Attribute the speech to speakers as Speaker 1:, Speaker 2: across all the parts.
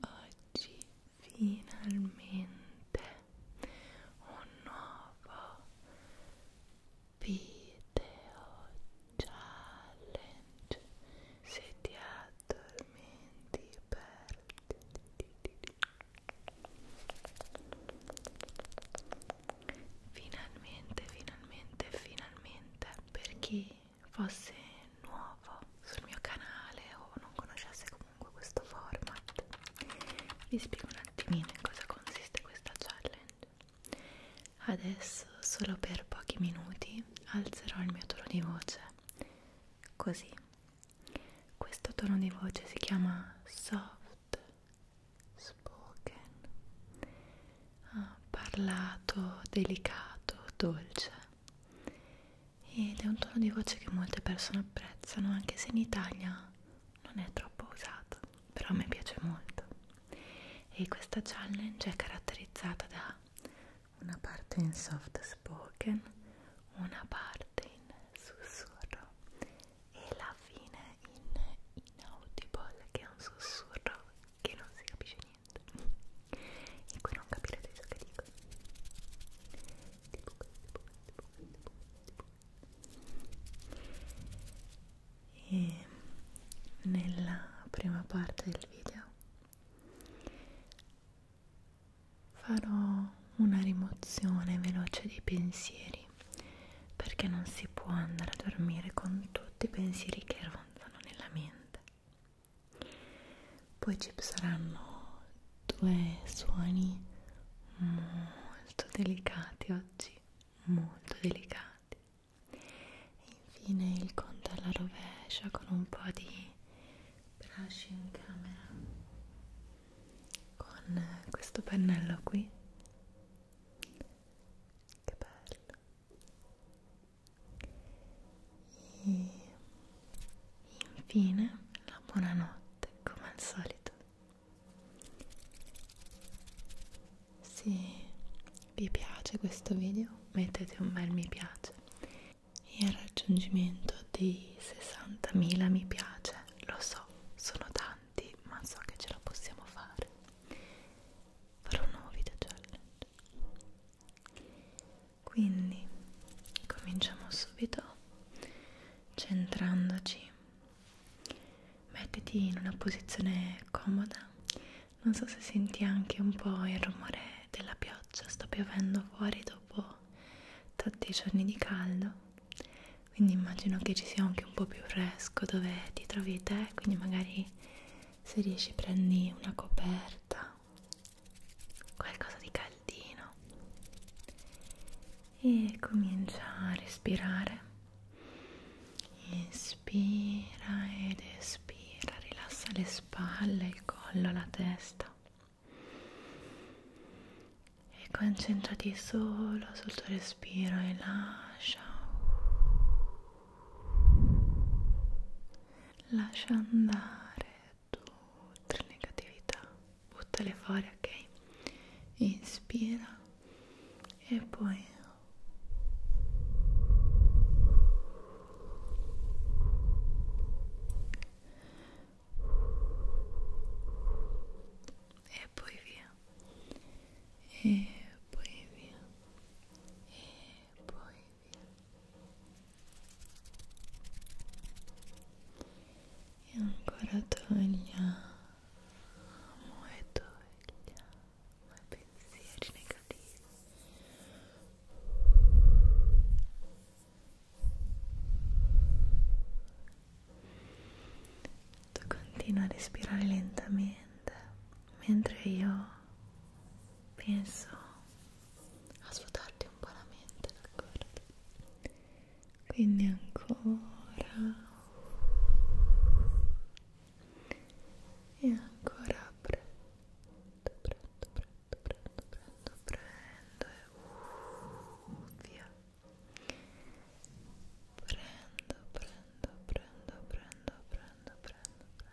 Speaker 1: oggi finalmente un nuovo video challenge se ti addormenti perditi finalmente finalmente finalmente perché fosse nuovo sul mio canale o non conoscesse comunque questo format vi spiego un attimino in cosa consiste questa challenge adesso solo per pochi minuti alzerò il mio tono di voce così questo tono di voce si chiama soft spoken parlato, delicato, dolce ed è un tono di voce che molte persone apprezzano anche se in Italia non è troppo usato, però a me piace molto e questa challenge è caratterizzata da una parte in soft spoken, una parte in sussurro e la fine in inaudible che è un sussurro che non si capisce niente e qui non capirete ciò che dico tipo questo, tipo questo, tipo questo, e nella prima parte del video farò una rimozione veloce dei pensieri perché non si può andare a dormire con tutti i pensieri che ronzano nella mente poi ci saranno due suoni molto delicati oggi molto delicati e infine il conto alla rovescia con un po' di brush in camera con questo pennello qui che bello e infine la buonanotte come al solito se vi piace questo video mettete un bel mi piace e al raggiungimento dei 60.000 mi piace lo so sono tanti ma so che ce la possiamo fare farò un nuovo video challenge quindi cominciamo subito centrandoci mettiti in una posizione comoda non so se senti anche un po' il rumore della pioggia sta piovendo fuori dopo tanti giorni di caldo quindi immagino che ci sia anche un po' più fresco dove ti trovi te quindi magari se riesci prendi una coperta qualcosa di caldino e comincia a respirare inspira ed espira rilassa le spalle il collo la testa e concentrati solo sul tuo respiro e lascia lascia andare tutte le negatività buttale fuori ok inspira e poi e poi via e poi via e poi e ancora togliamo e togliamo i pensieri negativi tu continua a respirare lentamente mentre io penso a svuotarti un po' la mente, d'accordo? Quindi ancora e ancora prendo, prendo, prendo, prendo, prendo, prendo e uh, via prendo, prendo, prendo, prendo, prendo, prendo, prendo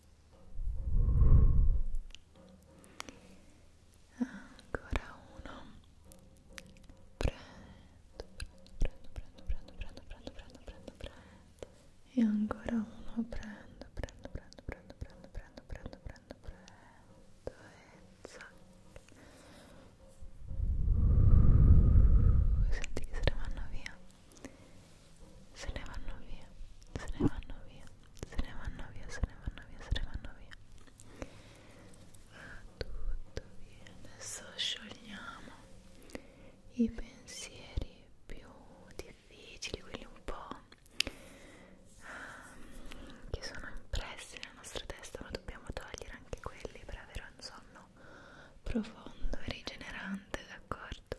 Speaker 1: ancora uno prendo prendo prendo prendo prendo prendo prendo prendo e ancora uno prendo prendo prendo prendo prendo prendo prendo prendo prendo e zac senti che se ne vanno via se ne vanno via, se ne vanno via, se ne vanno via, se ne vanno via, se ne vanno via. Va tutto via. Adesso sciogliamo i pensieri più difficili, quelli un po' um, che sono impressi nella nostra testa, ma dobbiamo togliere anche quelli per avere un sonno profondo e rigenerante, d'accordo?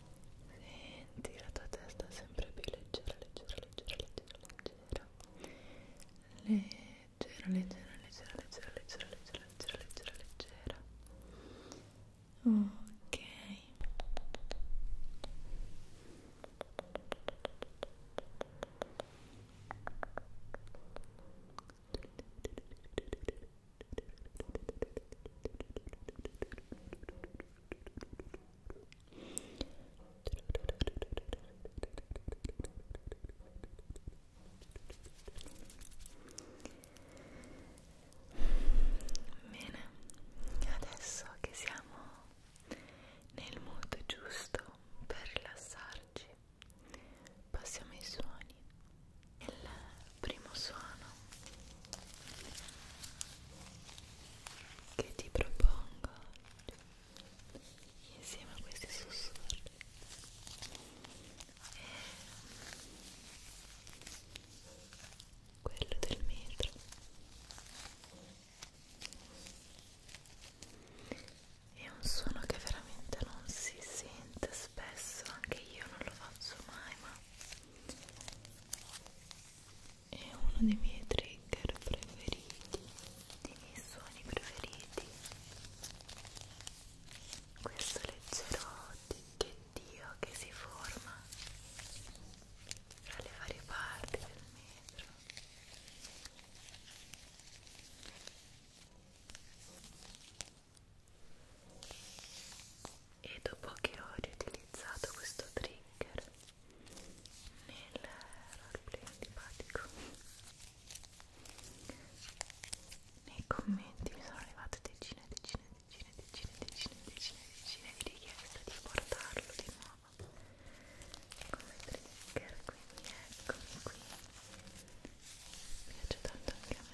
Speaker 1: Senti la tua testa sempre più leggera, leggera, leggera, leggera, leggera. Leggera, leggera, leggera, leggera, leggera, leggera, leggera, leggera, leggera. Ok. ok Bene, adesso che siamo nel mood giusto per rilassarci, passiamo ai suoni. Il primo suono che ti propongo insieme a questi sussurri è quello del metro è un suono che veramente non si sente spesso, anche io non lo faccio mai, ma è uno dei miei trigger preferiti dei miei suoni preferiti questo leggero ticchettio che si forma tra le varie parti del metro e dopo che ho riutilizzato questo trigger nel roleplay antipatico nei commenti mi sono arrivate decine e decine decine decine decine decine decine di richieste di portarlo di nuovo come trigger quindi eccomi qui mi piace tanto anche a me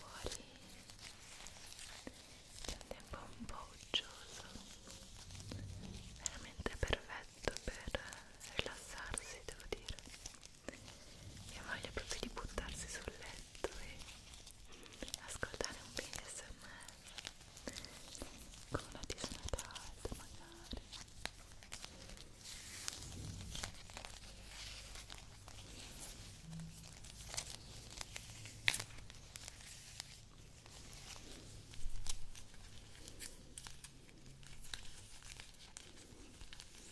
Speaker 1: Fuori c'è un tempo un po' uggioso, veramente perfetto per rilassarsi, devo dire e voglio proprio di buttarsi sul letto e ascoltare un video smr con una disnata alta magari Ecco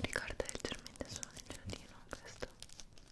Speaker 1: Ricorda leggermente il suono del giardino questo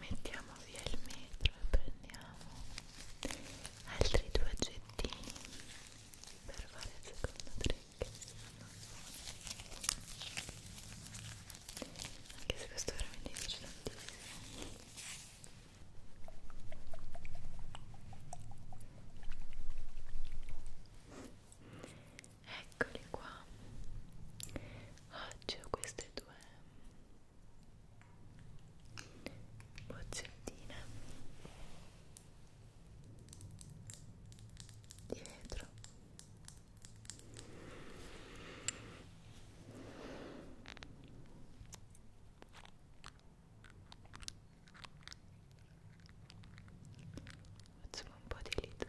Speaker 1: Mettiamo via il metro e prendiamo altri due oggettini per fare il secondo trick anche se questo veramente dice tantissimo eccoli qua oggi ho queste due boccettine di vetro facciamo un po' di litsa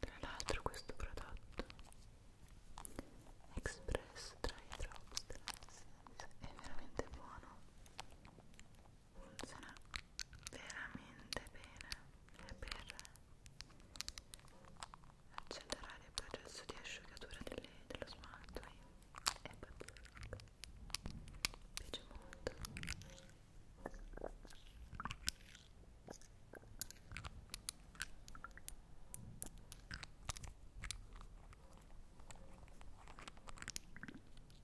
Speaker 1: Tra l'altro questo prodotto Express Dry Drops è veramente buono funziona veramente bene è per accelerare il processo di asciugatura delle, dello smalto e è pazzesco mi piace molto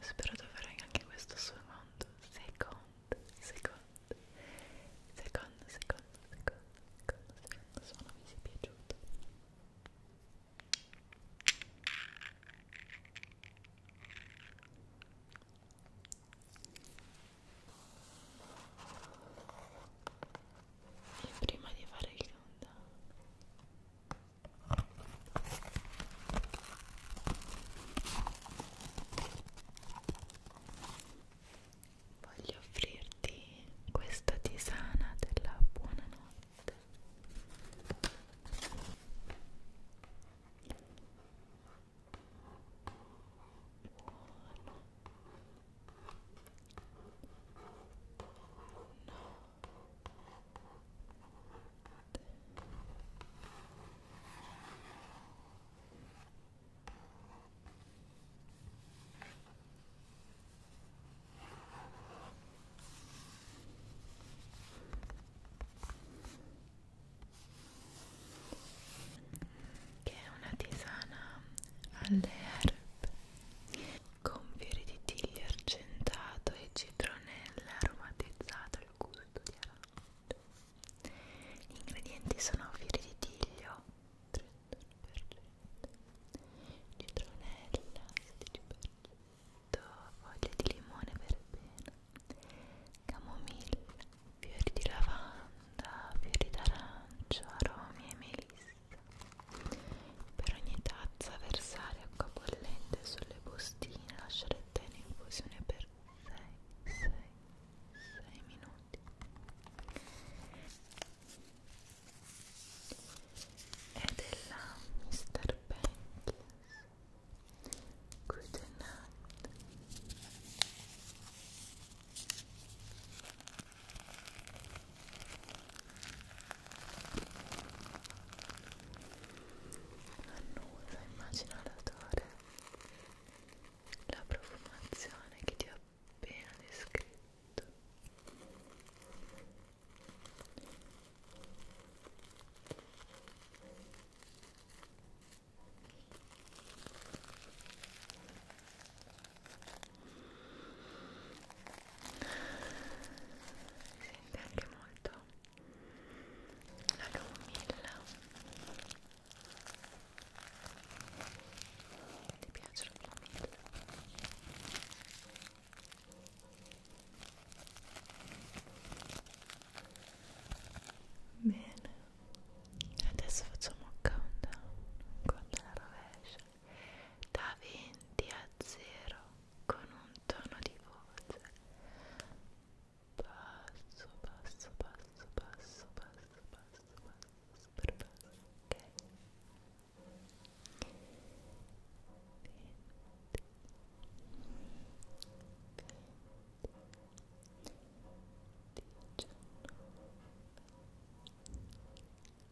Speaker 1: Spero di avere anche questo suonato secondo, secondo, secondo, secondo, secondo, secondo, secondo suono mi sia piaciuto e prima di fare il countdown voglio offrirti questa tisana della buonanotte buonanotte che è una tisana alle herb con fiori di tiglio argentato e citronella aromatizzato al gusto di arancio. Gli ingredienti sono fiori di tiglio 31%, citronella 16%, foglie di limone verbena, camomilla, fiori di lavanda, fiori d'arancio, aromi e melissa. Per ogni tazza versare acqua bollente sulle bustine e lasciare il tè in infusione per 6-6 minuti. È della Mr. Bentley. Good night. Annusa, immagina l'odore, la profumazione che ti ho appena descritto si sente anche molto la lumilla ti piace la lumilla? Bene, adesso facciamo un countdown, un countdown alla rovescia da 20 a 0 con un tono di voce basso, basso, basso, basso, basso, basso, basso, super basso, ok? 20 20 19 18 17 16 15 14 13 12 11 10 9 8 7 6 5 4 3 2 1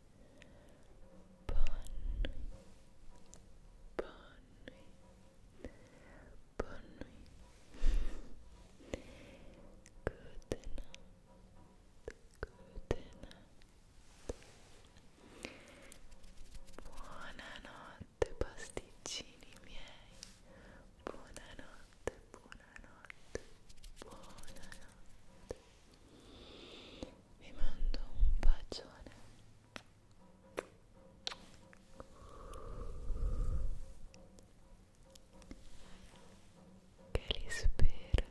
Speaker 1: Bonne nuit. Bonne nuit. Bonne nuit. Good night. Good night. Buonanotte pasticcini miei. Buonanotte, buonanotte, buonanotte. vi mando un bacione che li spera